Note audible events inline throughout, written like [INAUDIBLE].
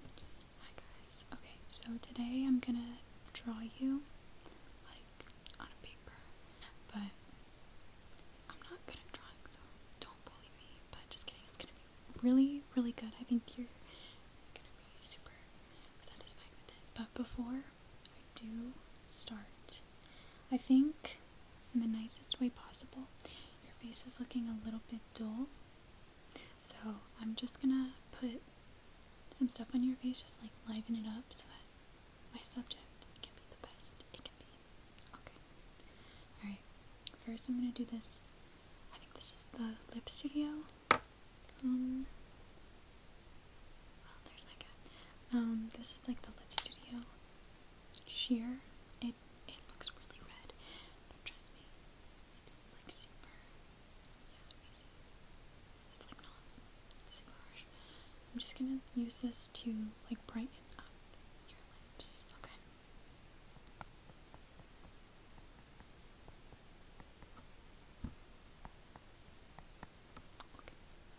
Hi guys. Okay, so today I'm gonna draw you like on a paper, but I'm not good at drawing, so don't bully me. But just kidding, it's gonna be really, really good. I think you're gonna be super satisfied with it. But before I do start, I think in the nicest way possible, your face is looking a little bit dull. So I'm just gonna put some stuff on your face, just like liven it up so that my subject can be the best it can be. Okay. Alright, first I'm gonna do this. I think this is the Lip Studio. Um, well, oh, there's my cat. Um, this is like the Lip Studio sheer. It it looks really red, trust me, I'm just gonna use this to like brighten up your lips, okay?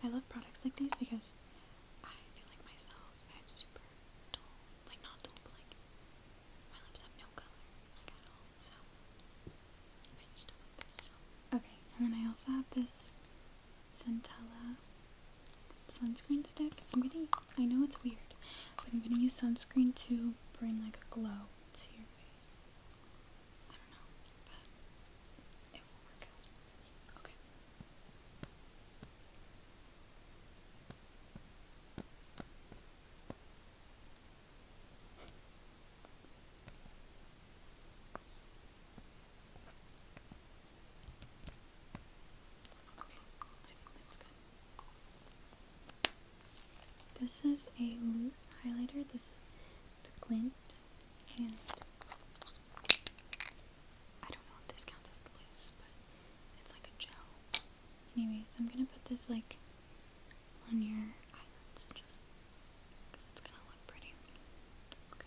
I love products like these because I feel like myself, I'm super dull. Like, not dull, Okay, and then I also have this Centella sunscreen stick. I'm gonna, I know it's weird, but I'm gonna use sunscreen to bring like a glow to your face. I don't know, but it will work Okay. This is a loose highlighter. This is the glint, and I don't know if this counts as loose, but it's like a gel. Anyways, I'm gonna put this like on your eyelids just because it's gonna look pretty. Okay.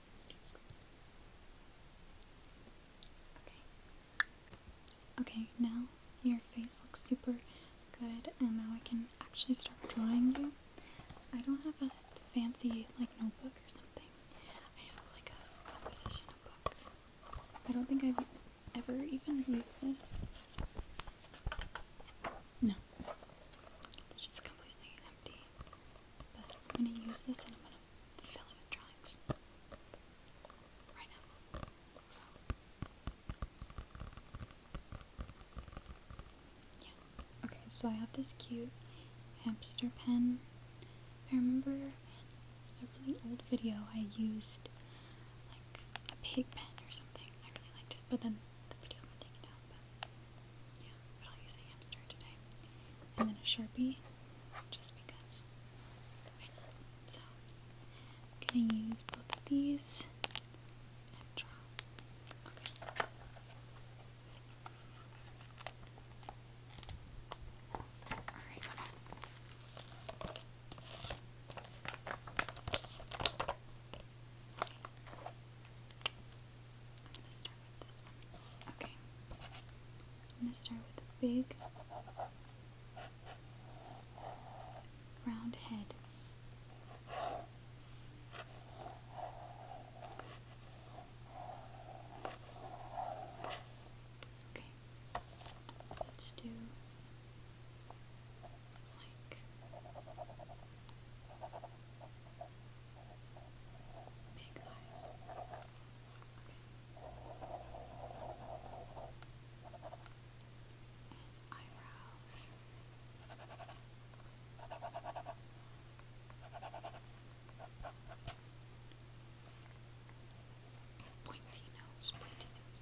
Okay. Okay, now your face looks super good, and now I can actually start drawing you. I don't have a fancy, like, notebook or something. I have, like, a composition book. I don't think I've ever even used this. No but I'm gonna use this and I'm gonna fill it with drawings right now. So, yeah. Okay, so I have this cute hamster pen. I remember in a really old video I used like a pig pen or something. I really liked it, but then the video got taken down. Yeah, but I'll use a hamster today. And then a sharpie, just because. So, gonna use both these Alright. Okay. I'm going to start with a big round head. Okay. Let's do like Big eyes. And eyebrows. Pointy nose, pointy nose.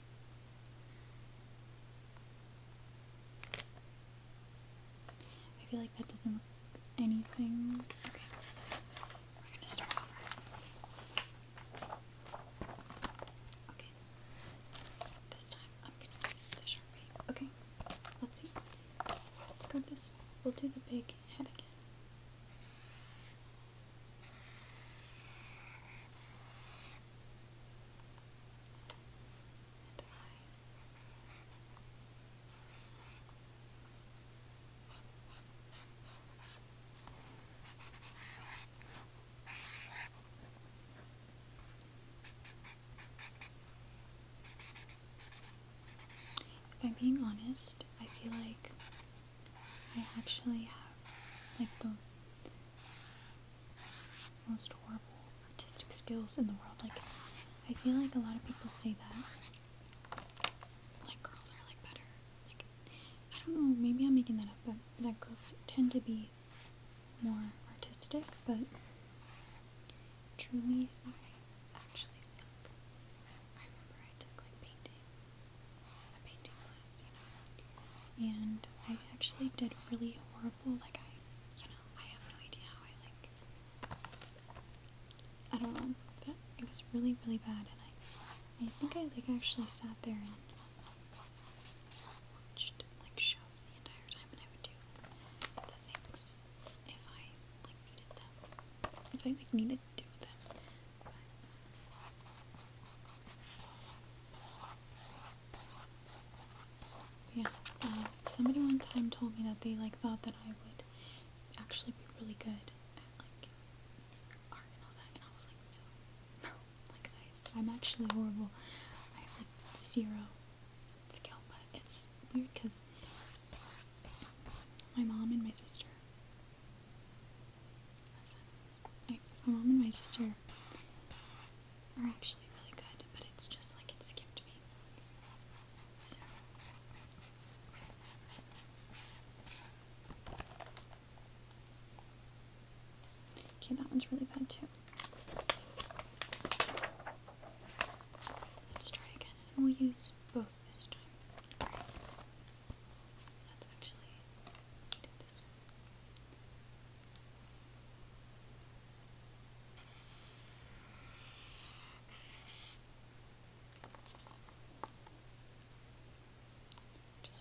I feel like that doesn't look anything. Okay, we're gonna start over. Okay, this time I'm gonna use the sharpie. Okay, let's see. Let's go this We'll do the big head again. If I'm being honest, I feel like I actually have like both most horrible artistic skills in the world. Like, I feel like a lot of people say that. Like, girls are like better. Like, I don't know, maybe I'm making that up, but that girls tend to be more artistic, but truly, I actually suck. I remember I took like painting a painting class, you know. And I actually did really horrible. Like I, you know, I have no idea how I like. I don't know, but it was really, really bad. And I, I think I like actually sat there and watched like shows the entire time, and I would do the things if I like needed them. If I like needed to do them, yeah, um, somebody one time told me that they like thought that I would actually be really good at like art and all that, and I was like, no, [LAUGHS] like I'm actually horrible. I have like zero skill, but it's weird because my mom and my sister my mom and my sister are actually really good, but it's just like it skipped me. Okay, that one's really bad too. Let's try again, we'll use both this time. That's actually I this one. Just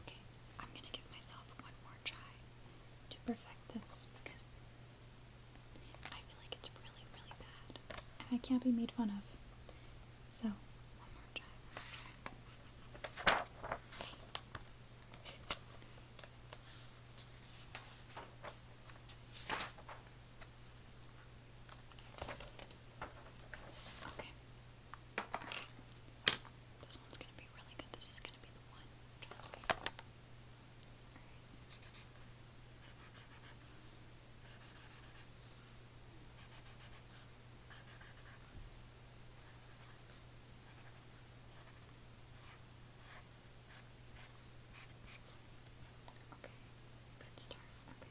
Okay, I'm going to give myself one more try to perfect this because I feel like it's really, really bad. And I can't be made fun of. So, one more try. Okay. This one's gonna be really good. This is gonna be the one. Okay, good start. Okay. Okay.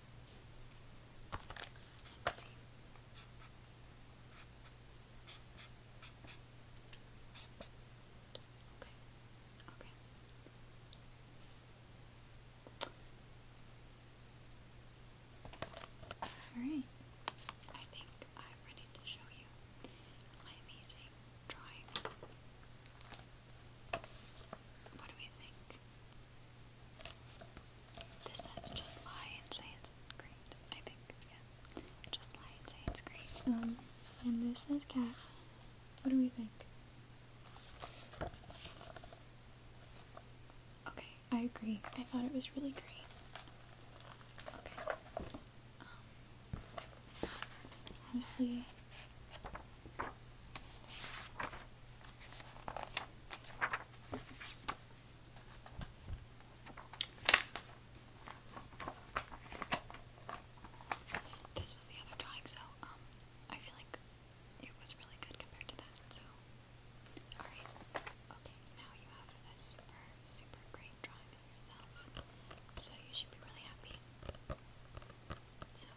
let Alright. I think I'm ready to show you my amazing drawing. What do we think? This says just lie and say it's great, I think. Yeah. Just lie and say it's great. Um, and this says cat. What do we think? Okay, I agree. I thought it was really great. Okay. Um, honestly, this was the other drawing, so um, I feel like it was really good compared to that. So, all right, okay. Now you have a super, super great drawing of yourself, so you should be really happy. So,